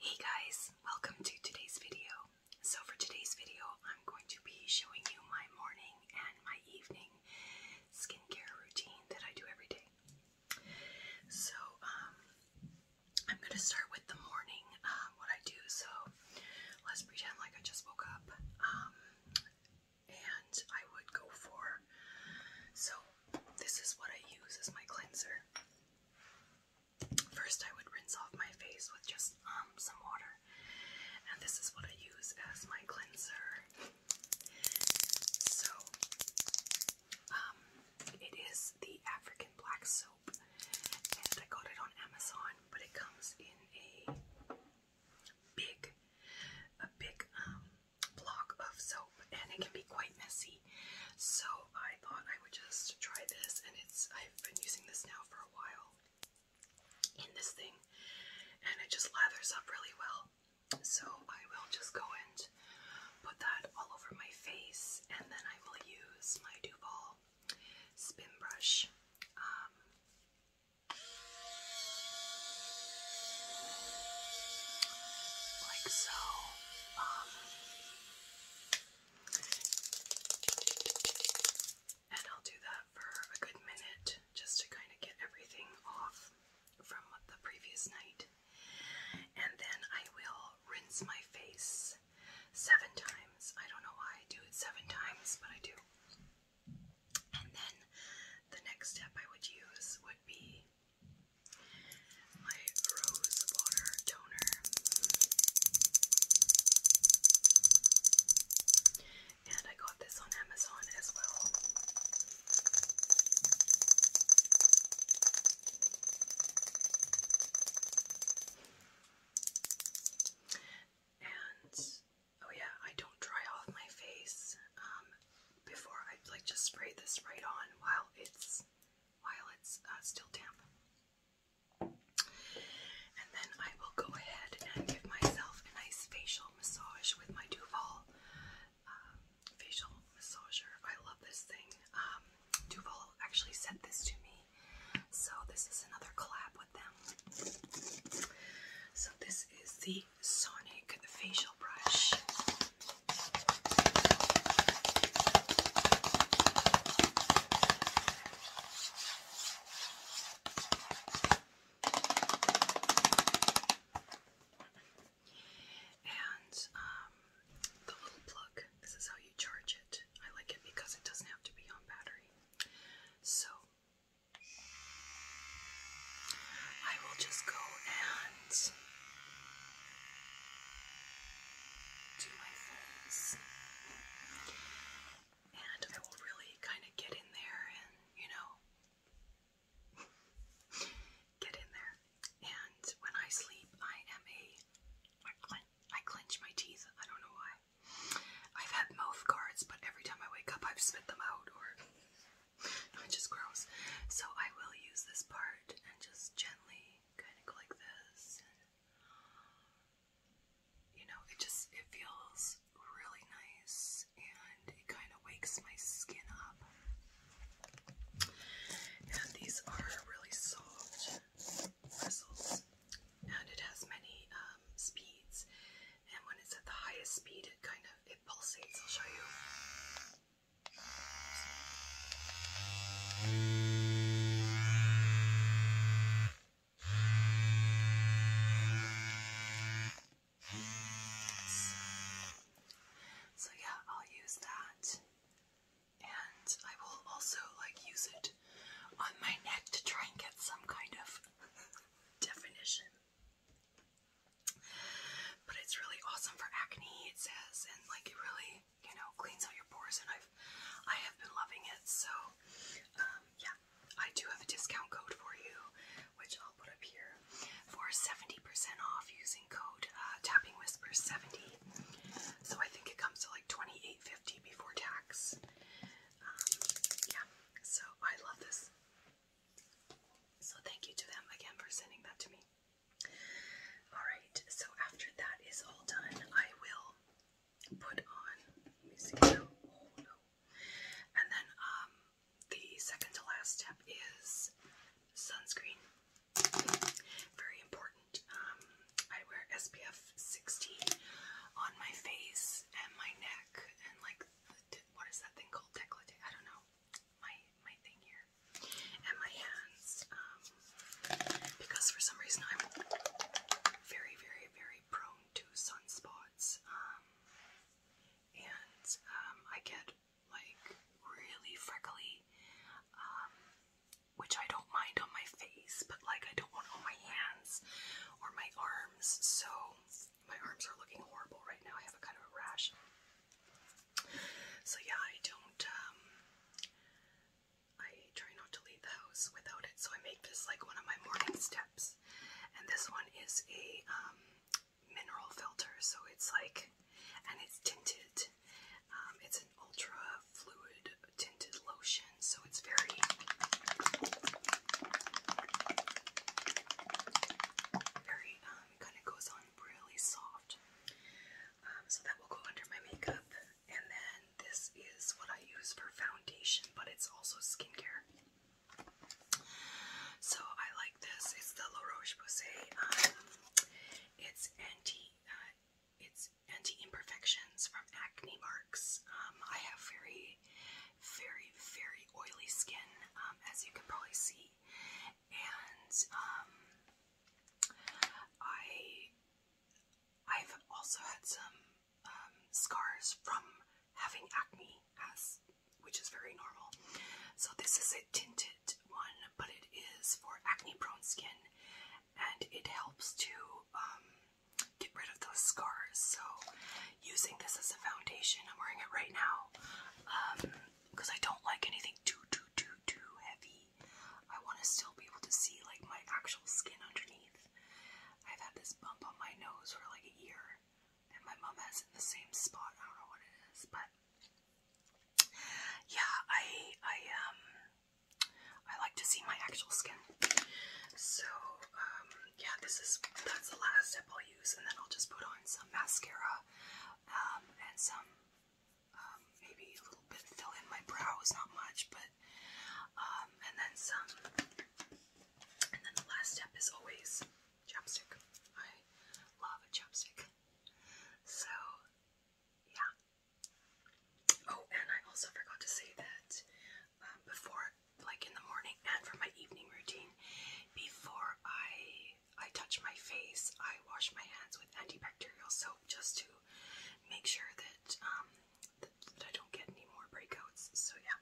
Hey guys, welcome to today's video. So for today's video, I'm going to be showing you my morning and my evening skincare routine that I do every day. So um, I'm going to start with the morning, um, what I do. So let's pretend like I just woke up. Um, and I would go for so, this is what I use as my cleanser. First, I would rinse off my face with just um, some water, and this is what I use as my cleanser. So, um, it is the African black soap, and I got it on Amazon, but it comes in a big, a big um, block of soap and it can be quite messy. So I thought I would just try this and it's I've been using this now for a while in this thing and it just lathers up really well. So I will just go and put that all over my face and then I will use my Duval spin brush. Um, like so. Um, and I'll do that for a good minute just to kind of get everything off from the previous night. And then I will rinse my face seven times. I don't know why I do it seven times, but I do. And then the next step I would use would be my rose water toner. And I got this on Amazon as well. And Oh yeah, I don't dry off my face um, before I like just spray this right on while it's while it's uh, still damp. And then I will go ahead and give myself a nice facial massage with my Duval um, facial massager. I love this thing. Um, Duval actually sent this to me, so this is another collab with them. So this this is the Sonic facial brush. And um, the little plug, this is how you charge it. I like it because it doesn't have to be on battery. So I will just go and do my face. And I will really kind of get in there and, you know, get in there. And when I sleep, I am a. I, clench my teeth. I don't know why. I've had mouth guards, but every time I wake up, I've spit them out, or it just gross. So I will use this part and just gently kind of go like this. And, you know, it just it feels really nice, and it kind of wakes my skin up. And these are really soft and it has many um, speeds and when it's at the highest speed it kind of it pulsates i'll show you so yeah i'll use that and i will also like use it it on my neck to try and get some kind of definition. But it's really awesome for acne, it says, and like it really, you know, cleans out your pores, and I've I have been loving it. So um yeah, I do have a discount code for you, which I'll put up here for 70% off using code uh, tapping whisper 70. So I think it comes to like 28 eight fifty before tax. Um, yeah, so I love this. So thank you to them again for sending that to me. All right, so after that is all done, I will put on. Oh no! And then um, the second to last step is sunscreen. Very important. Um, I wear SPF 16 on my face and my neck and like what is that thing called décolleté? I don't know. My my thing here and my hands um, because for some reason I'm very very very prone to sunspots um, and I get like really freckly which I don't mind on my face, but like I don't want on my hands or my arms. So my arms are looking horrible right now. I have a kind of a rash. So yeah, I don't um I try not to leave the house without it. So I make this like one of my morning steps. And this one is a um, mineral filter, so it's like and it's tinted um, it's an ultra fluid tinted lotion, so it's very very um, kind of goes on really soft. Um, so that will go under my makeup, and then this is what I use for foundation, but it's also skincare. So I like this. It's the La Roche it's anti uh, it's anti-imperfections from acne marks. Um, I have very, very, very oily skin, um, as you can probably see, and um, I, I've also had some um, scars from having acne, as which is very normal. So this is a tinted one, but it is for acne prone skin and it helps to um, get rid of those scars. So, using this as a foundation, I'm wearing it right now because um, I don't like anything too, too, too, too heavy. I want to still be able to see like my actual skin underneath. I've had this bump on my nose for like a year, and my mom has in the same spot. I don't know what it is, but yeah, I I um I like to see my actual skin. So um, yeah, this is that's the last step I'll use, and then I'll just put on some mascara um and some um, maybe a little bit fill in my brows, not much, but um and then some and then the last step is always chapstick. I love a chapstick. So, yeah. Oh, and I also forgot to say that um, before, like in the morning and for my evening routine, before I I touch my face, I wash my hands with antibacterial soap just to make sure that, um, that I don't get any more breakouts. So yeah.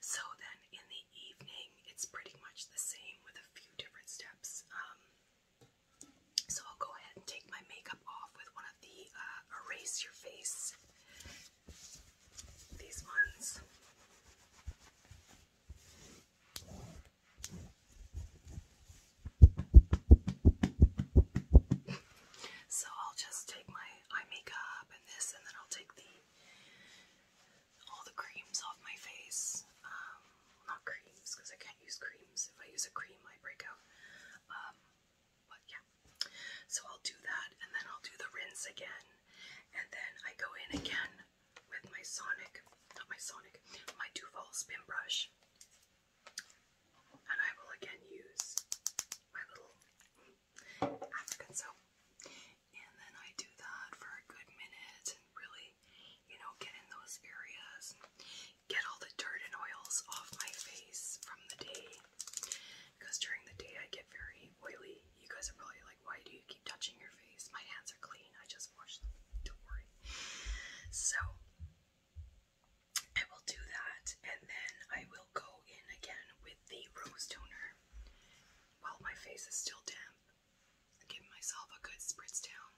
So then in the evening, it's pretty much the same with a few different steps. Um, so I'll go ahead and take my makeup off with one of the uh, erase your face. These ones. so I'll just take my eye makeup and this, and then I'll take the all the creams off my face. Um, not creams, because I can't use creams. If I use a cream, I break out. Um, but yeah. So I'll do that, and then I'll do the rinse again. And then I go in again with my Sonic, not my Sonic, my Duval Spin Brush. And I will again use my little African soap. And then I do that for a good minute and really, you know, get in those areas and get all the dirt and oils off my face from the day. Because during the day I get very oily. You guys are probably like, why do you keep touching your face? My hands are clean. I just wash them. Don't worry. So I will do that and then I will go in again with the rose toner while my face is still damp, I give myself a good spritz down.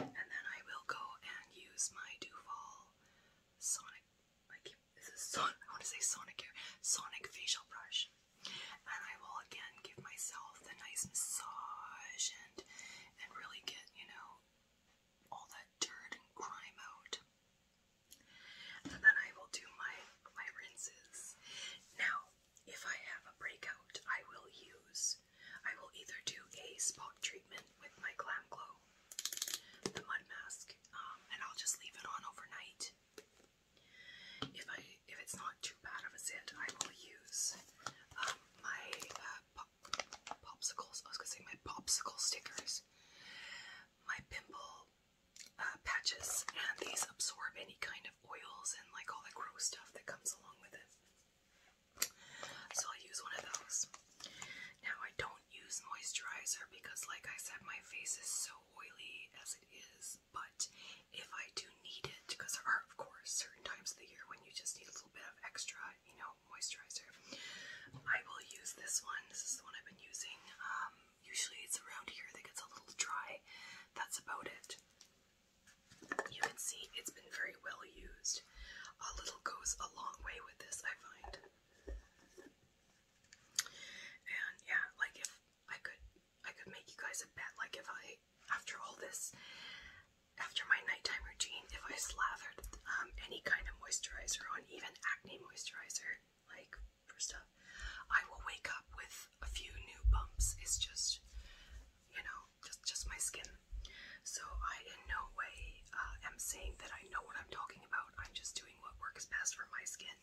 And then I will go and use my Duval Sonic. I this is Sonic. I want to say Sonic here. Sonic facial brush. And I will again give myself a nice massage and and really get you know all that dirt and grime out and then I will do my my rinses. Now, if I have a breakout, I will use I will either do a spot treatment with my Glam Glow, the mud mask, um, and I'll just leave it on overnight. If I if it's not too bad of a scent, I will use um, my uh, popsicles. I was gonna say my popsicle stickers, my pimple uh, patches, and these absorb any kind of oils and like all that gross stuff that comes along with it. So I'll use one of those. Now I don't use moisturizer because, like I said, my face is so oily as it is. But if I do need it, because there are, of course, certain times of the year when you just need a little bit of extra, you know, moisturizer. I will use this one. This is the one I've been using. Um, usually it's around here that gets a little dry. That's about it. You can see it's been very well used. A little goes a long way with this, I find. And yeah, like if I could, I could make you guys a bet. Like if I, after all this, after my nighttime routine, if I slathered um, any kind of moisturizer on, even acne moisturizer, like for stuff. I will wake up with a few new bumps. It's just, you know, just just my skin. So I in no way uh, am saying that I know what I'm talking about. I'm just doing what works best for my skin,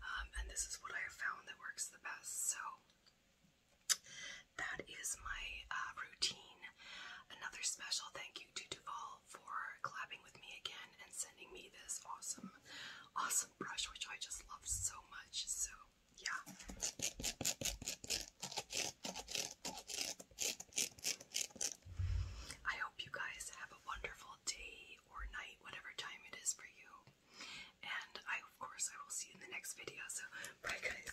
um, and this is what I have found that works the best. So that is my uh, routine. Another special thank you to Duval all for collabing with me again and sending me this awesome, awesome brush, which I just love so much. So, yeah. I hope you guys have a wonderful day or night, whatever time it is for you. And I, of course, I will see you in the next video. So, bye, guys.